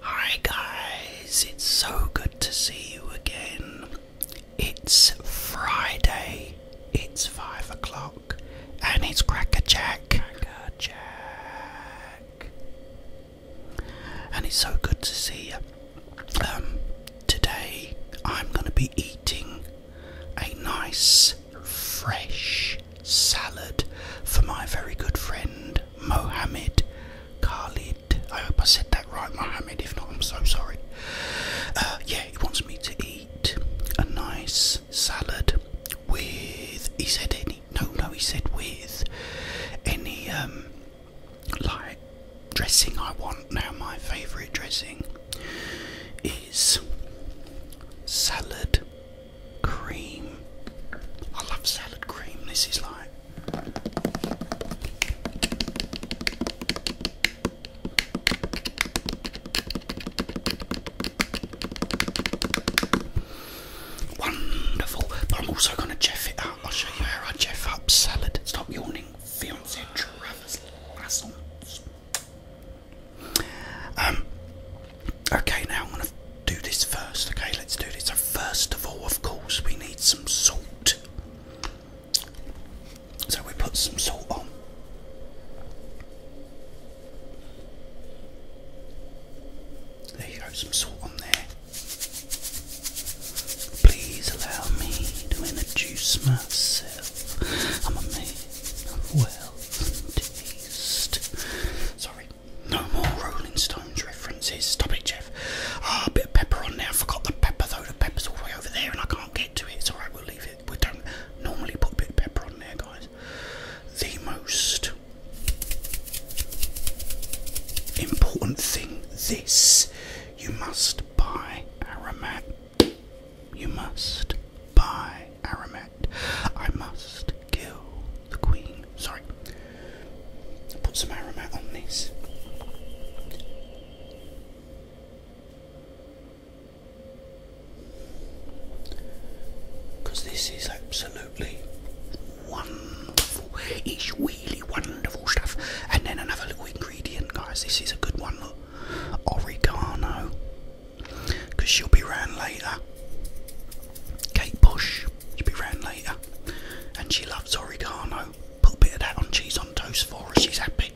Hi guys, it's so good to see you again. It's Friday, it's five o'clock, and it's Cracker Jack. And it's so good to see you. Um, today I'm going to be eating a nice, fresh salad for my very good friend Mohammed Khalid. I hope I said that right, Mohammed. If not, I'm so sorry. Uh, yeah, he wants me to eat a nice salad with. He said any. No, no, he said with any um like dressing I want. Now my favourite dressing is salad cream. I love salad cream. This is like. Wonderful, I'm also going to jeff it up. I'll show you how I jeff up salad. Stop yawning, fiance Travis Lassons. Um, Okay, now I'm going to do this first. Okay, let's do this. So, first of all, of course, we need some salt. So, we put some salt on. There you go, some salt on there. Please allow me to introduce myself. I'm a man of wealth and taste. Sorry. No more Rolling Stones references. Stop it, Jeff. Ah, a bit of pepper on there. I forgot the pepper though. The pepper's all the way over there, and I can't get to it. It's alright, we'll leave it. We don't normally put a bit of pepper on there, guys. The most important thing this you must buy Aramat. You must buy Aramat. I must kill the queen. Sorry. Put some aromat on this. Because this is absolutely wonderful. It's really wonderful stuff. And then another little ingredient, guys. This is a good one. Look, oregano. Because she'll be round later. Kate Bush. She'll be round later. And she loves oregano. Put a bit of that on cheese on toast for her. She's happy.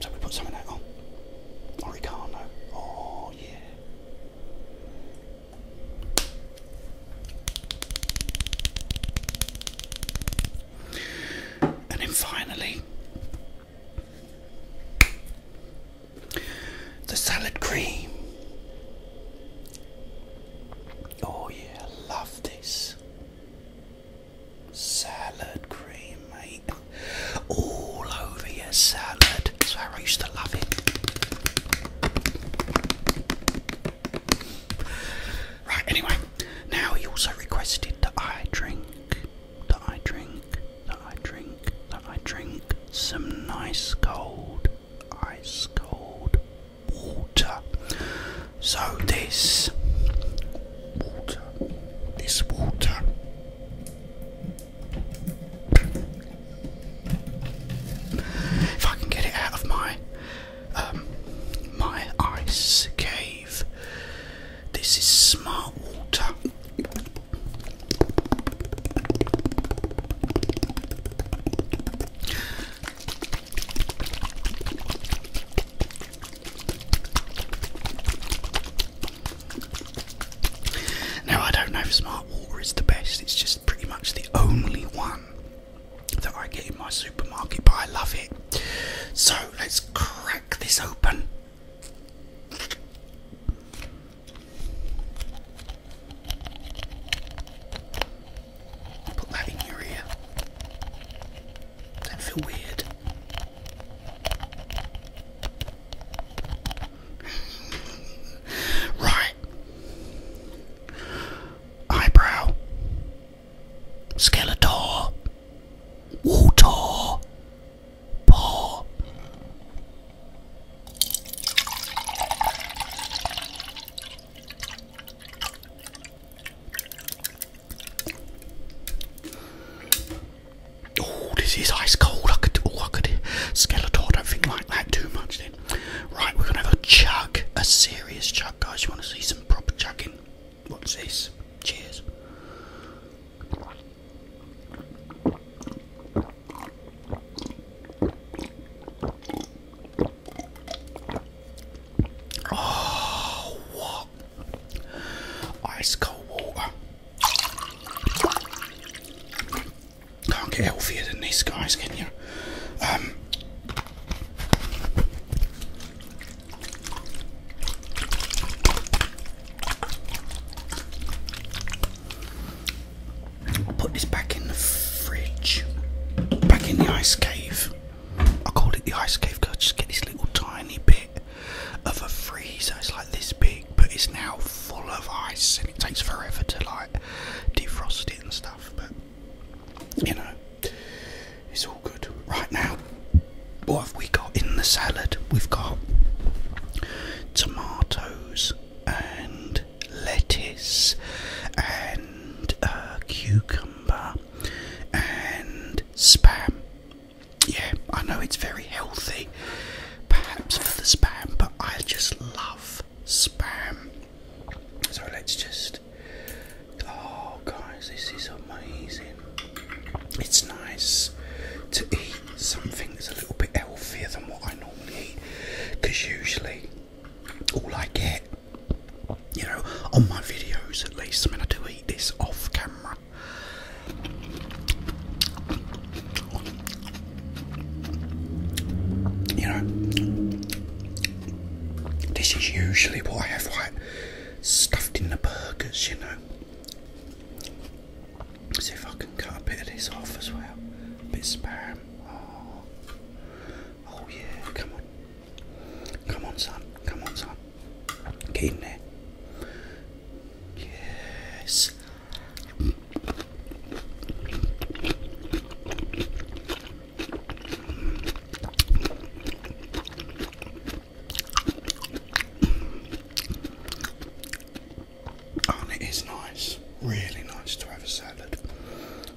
So we put some that on. Oregano. Oh yeah. And then finally the salad cream. Oh, yeah, love this. Salad cream, mate. All over your salad. That's how I used to love it. Right, anyway, now he also requested that I drink, that I drink, that I drink, that I drink some nice cold ice cold water. So, this water, this water. If I can get it out of my um, my ice cave, this is smart water. Now, I don't know if Smart Water is the best, it's just pretty much the only one that I get in my supermarket, but I love it. So, let's crack this open. Put that in your ear. Don't weird. right. Eyebrow. Skeletor. Water. Paw. Oh, this is ice cold. I could, oh, I could. Skeletor, don't think like that too much then. Right, we're gonna have a chug, a serious chug, guys. You want to see some proper chugging? What's this? Cheers. Oh, Ice cold water. Can't get healthier than these guys, can you? Um, put this back in the fridge, back in the ice cave. I called it the ice cave because just get this little tiny bit of a freezer. It's like this big, but it's now full of ice, and it takes forever to like defrost it and stuff. But you know, it's all good right now. What have we got in the salad? We've got tomatoes and lettuce and uh, cucumber and spam. Yeah, I know it's very healthy, perhaps for the spam, but I just love spam. So let's just. Oh, guys, this is amazing. It's nice to eat something that's a little bit healthier than what I normally eat because usually all I get, you know, on my videos at least. I mean, I do eat this off camera. You know, this is usually what I have like stuffed in the burgers, you know. see if I can cut a bit of this off as well. A bit of spam. Oh. oh, yeah, come on. Come on, son. Come on, son. Get in there. Yes. Oh, and it is nice, really nice to have a salad,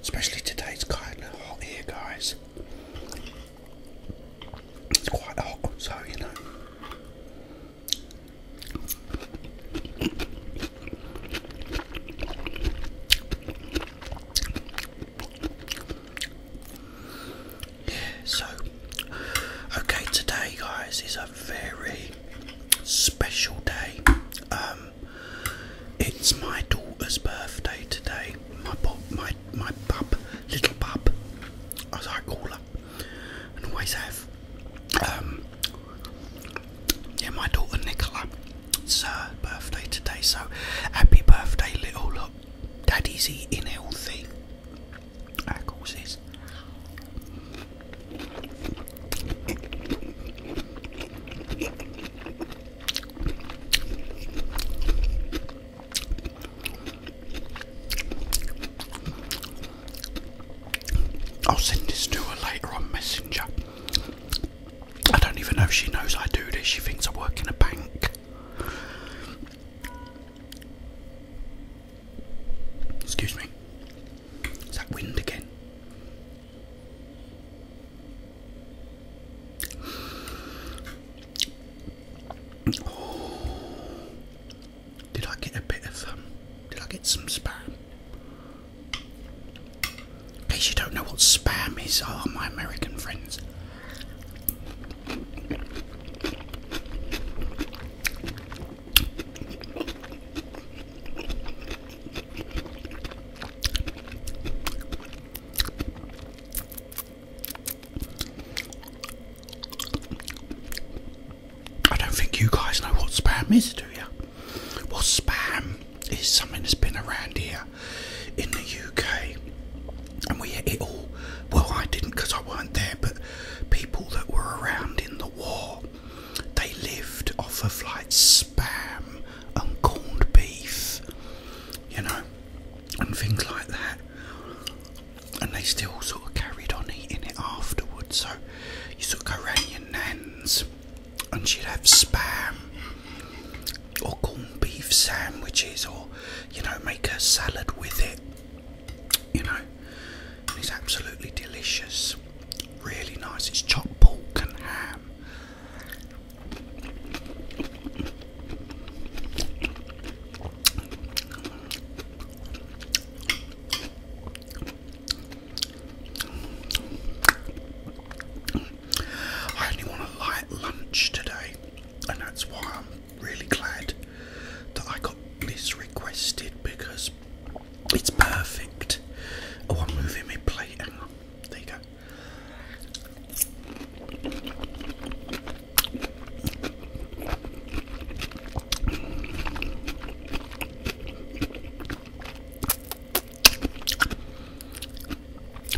especially today. It's kind of hot here, guys. It's quite hot, so you know. Yeah, so okay, today, guys, is a very special day. Um, it's my daughter's birthday today. My pop, my my bub, little bub, as I call her, and always have. Um, yeah, my daughter Nicola, it's her birthday today. So happy birthday, little look. Daddy's eating healthy. That causes. I'll send this to her later on Messenger. I don't even know if she knows I do this, she thinks I work in a bank. Excuse me. Is that wind again? did I get a bit of um, Did I get some spam? In case you don't know what spam is, are oh, my American friends. I don't think you guys know what spam is, do you? Well, spam is something that's been around here in the UK, and we ate it all. Well, I didn't because I weren't there, but people that were around in the war they lived off of like spam and corned beef, you know, and things like that. And they still sort of carried on eating it afterwards. So you took of go your nan's and she'd have spam or corned beef sandwiches or, you know, make a salad with it. You know, it's absolutely delicious really nice. It's chop pork and ham. I only want a light lunch today, and that's why I'm really glad that I got this requested because it's perfect. Oh, I'm moving my plate. There you go.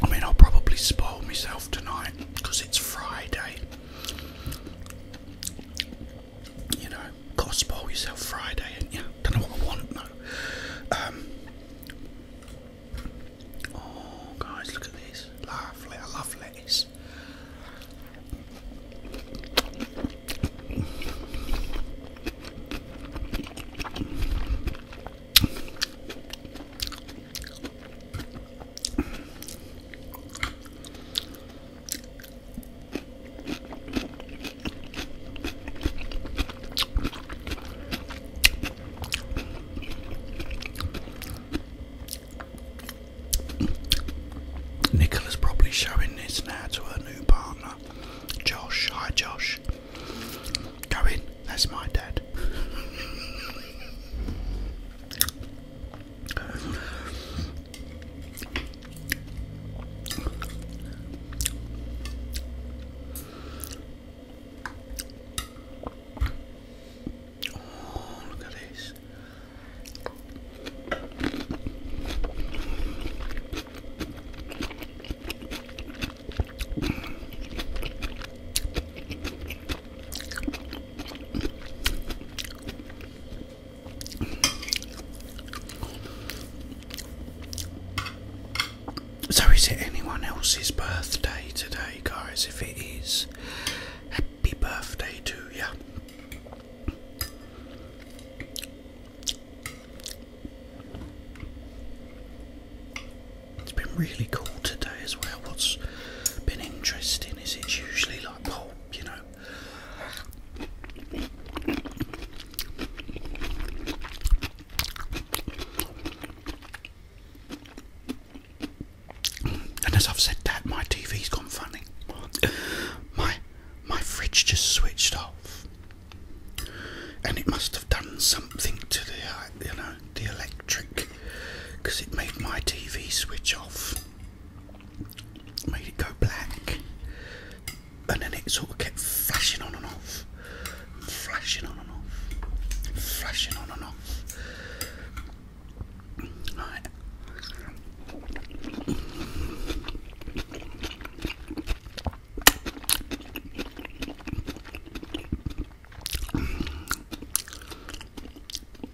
I mean, I'll probably spoil myself tonight because it's Friday. You know, cost ball yourself Friday, Don't know what I want No. Um, oh, guys, look at this. Lovely, I love Nicola's probably showing this now to her new partner, Josh. Hi, Josh. Go in, that's my dad. Oh, look at this. So, is it anyone else's birthday today, guys? If it is, happy birthday to you. It's been really cool today as well. What's been interesting is it's usually like, well, you know, and as I've said that, my TV's gone funny. My my fridge just switched off, and it must have done something to the uh, you know the electric, because it made my TV switch off, made it go black and then it sort of kept flashing on and off, flashing on and off, flashing on and off. Right.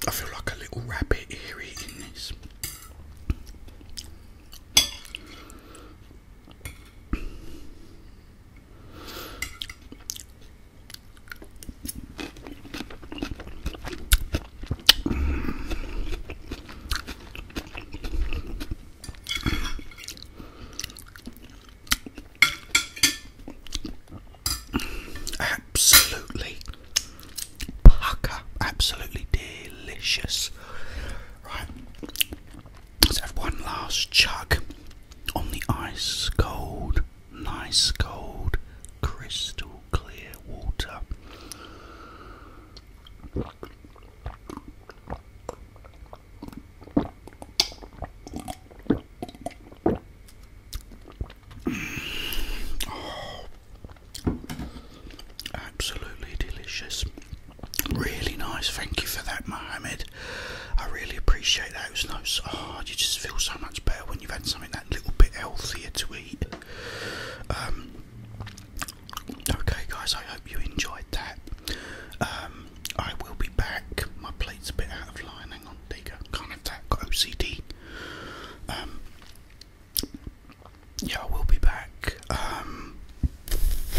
I feel like a little rabbit here eating this. Absolutely pucker, absolutely delicious. Right, Let's have one last chuck on the ice cold, nice cold, crystal clear water. Mm. Oh. absolutely delicious. Really nice, thank you for that, Mohammed. I really appreciate that. It was no, oh, hard. you just feel so much better when you've had something that little bit healthier to eat. Um, okay, guys, I hope you enjoyed that. Um, I will be back. My plate's a bit out of line. Hang on, there Can't attack. that. Got OCD. Um, yeah, I will be back.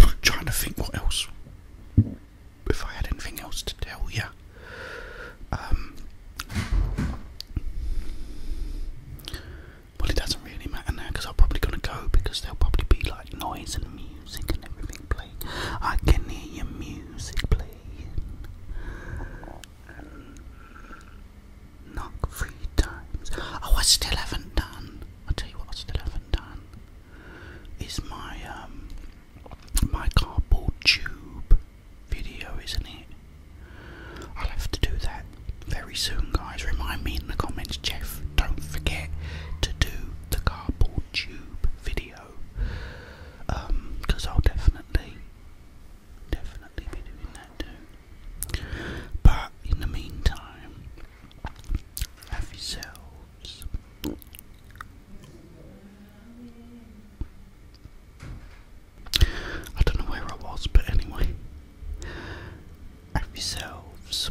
I'm trying to think what else. If I had anything else to tell you, um, well, it doesn't really matter now because I'm probably gonna go because there'll probably be like noise and music and everything playing. I can hear your music playing. Um, knock three times. Oh, I still haven't done I'll tell you what I still haven't done is my um, my cardboard tube video, isn't it? I'll have to do that very soon guys. Remind me in the comments, Jeff, don't forget to do the cardboard tube video. because um, I'll definitely definitely be doing that too. But in the meantime, have yourselves I don't know where I was, but anyway. Have yourselves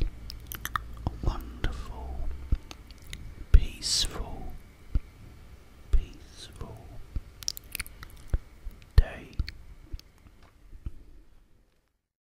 a wonderful, peaceful, peaceful day.